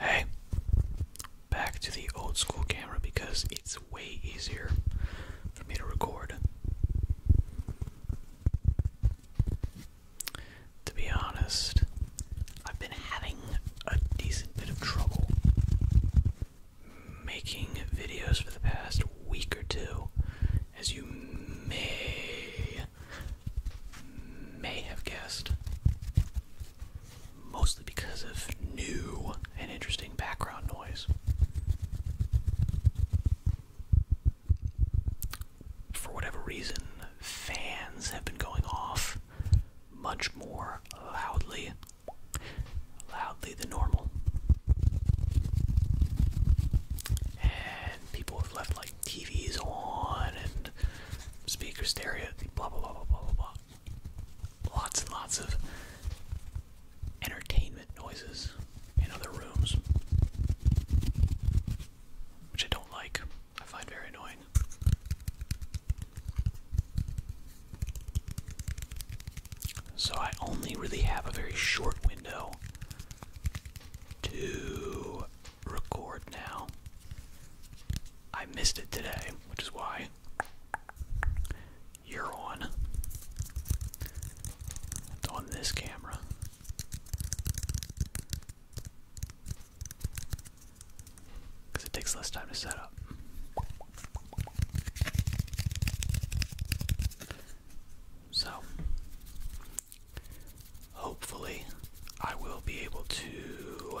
Hey, back to the old school camera because it's way easier for me to record. To be honest, I've been having a decent bit of trouble making videos for the past week or two, as you may may have guessed mostly because of new and interesting background noise. For whatever reason, fans have been going off much more loudly, loudly than normal. And people have left like TVs on and speaker stereo, blah blah blah blah blah blah blah. Lots and lots of entertainment noises in other rooms, which I don't like. I find very annoying. So I only really have a very short window to record now. I missed it today, which is why you're on. on this camera. Because it takes less time to set up. So, hopefully, I will be able to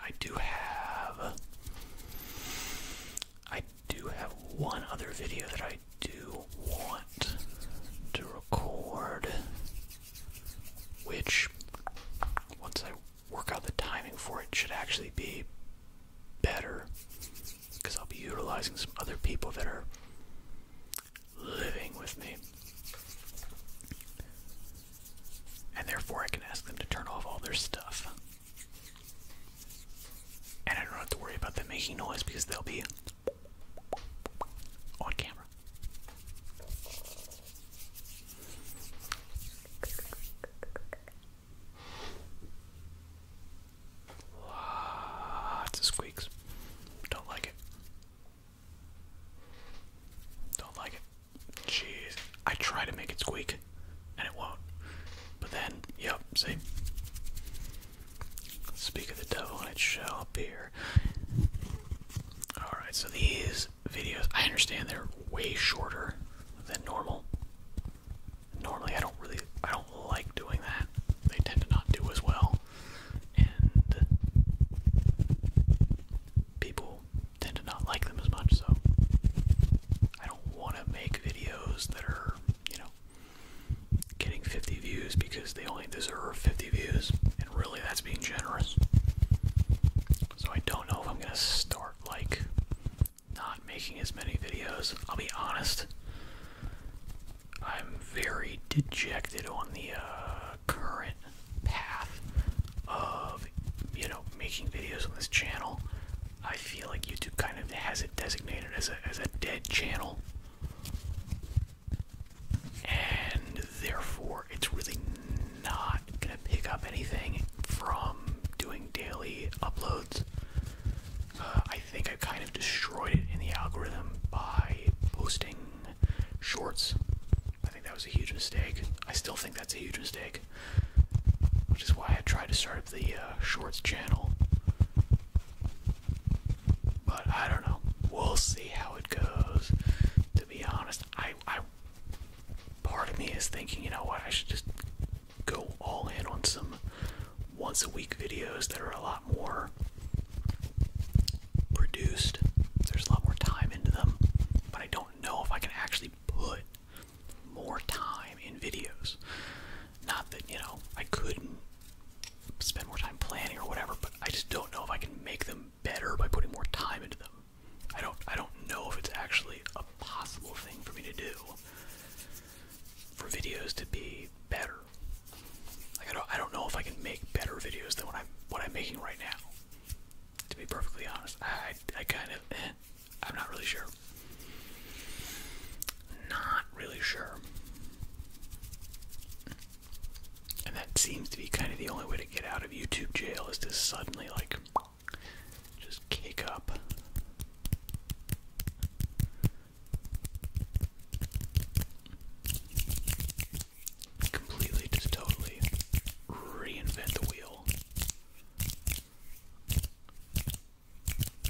I do have. I do have one other video that I do want to record, which, once I work out the timing for it, should actually be better because I'll be utilizing some other people that are living with me. And therefore, I can ask them to turn off all their stuff. And I don't have to worry about them making noise because they'll be on camera. Lots of squeaks. Don't like it. Don't like it. Jeez. I try to make it squeak, and it won't. But then, yep, see? Speak of the devil, and it shall appear. Alright, so these videos, I understand they're way shorter than normal. Normally, I don't really, I don't like doing that. They tend to not do as well. And people tend to not like them as much, so I don't want to make videos that are, you know, getting 50 views because they only deserve 50 views, and really that's being generous. So I don't know if I'm going to start, like, not making as many videos. I'll be honest. I'm very dejected on the uh, current path of you know making videos on this channel. I feel like YouTube kind of has it designated as a as a dead channel. And therefore it's really not gonna pick up anything from doing daily uploads. Uh, I think I kind of destroyed it in the algorithm by posting shorts that was a huge mistake. I still think that's a huge mistake, which is why I tried to start up the uh, shorts channel. But I don't know. We'll see how it goes. To be honest, I, I part of me is thinking, you know what? I should just go all in on some once a week videos that are a lot more produced. There's a lot more time into them, but I don't know if I can actually put more time in videos. Not that, you know, I couldn't spend more time planning or whatever, but I just don't know if I can make them better by putting more time into them. I don't I don't know if it's actually a possible thing for me to do for videos to be better. I don't I don't know if I can make better videos than what I'm what I'm making right now. To be perfectly honest, I I kind of eh, I'm not really sure. Not really sure. And that seems to be kind of the only way to get out of YouTube jail is to suddenly like just kick up completely, just totally reinvent the wheel.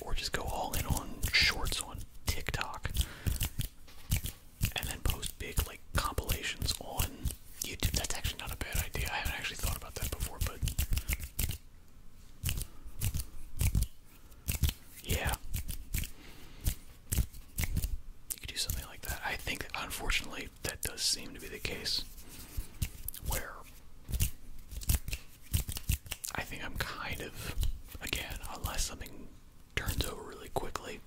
Or just go all in on shorts on TikTok and then post big like compilations on YouTube. That's actually not a bad idea. I haven't actually thought about that before, but yeah. You could do something like that. I think, unfortunately, that does seem to be the case. Where I think I'm kind of, again, unless something turns over really quickly,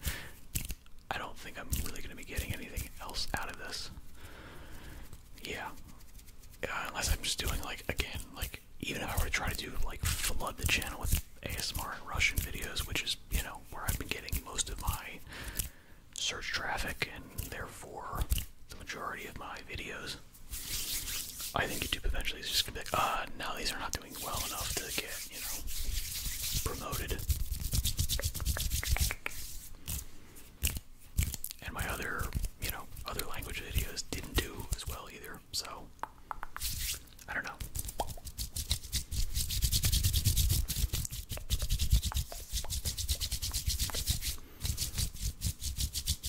I don't think I'm really going to be getting anything else out of this. Yeah. Uh, unless I'm just doing, like, again, like, even if I were to try to do, like, flood the channel with ASMR and Russian videos, which is, you know, where I've been getting most of my search traffic and therefore the majority of my videos. I think YouTube eventually is just gonna be like, ah, now these are not doing well enough to get, you know, promoted. And my other, you know, other language videos didn't do as well either, so I don't know.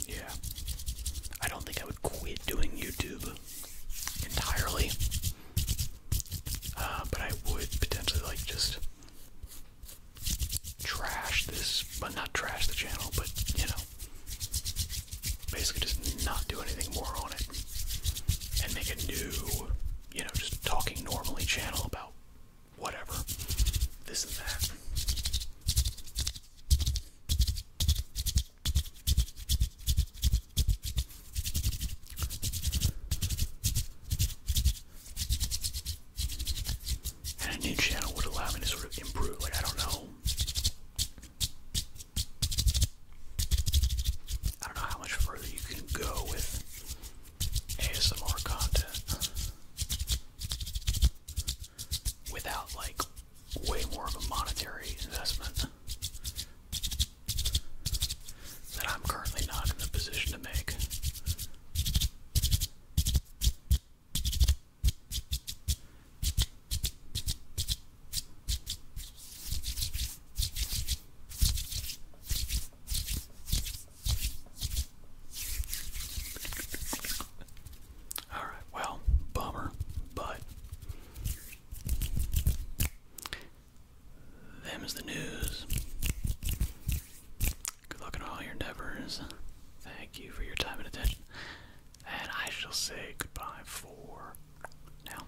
Yeah. I don't think I would quit doing YouTube entirely. Uh, but I would potentially like just trash this, but not trash the channel, but you know, basically just not do anything more on it and make a new you know, just talking normally channel about whatever, this and that. And a new channel would allow me to sort of improve, like, I don't know. I don't know how much further you can go with ASMR content without like way more of a monetary investment that I'm currently not in a position to make. All right, well, bummer, but them is the news. Good luck in all your endeavors. Thank you for your time and attention. And I shall say goodbye for now.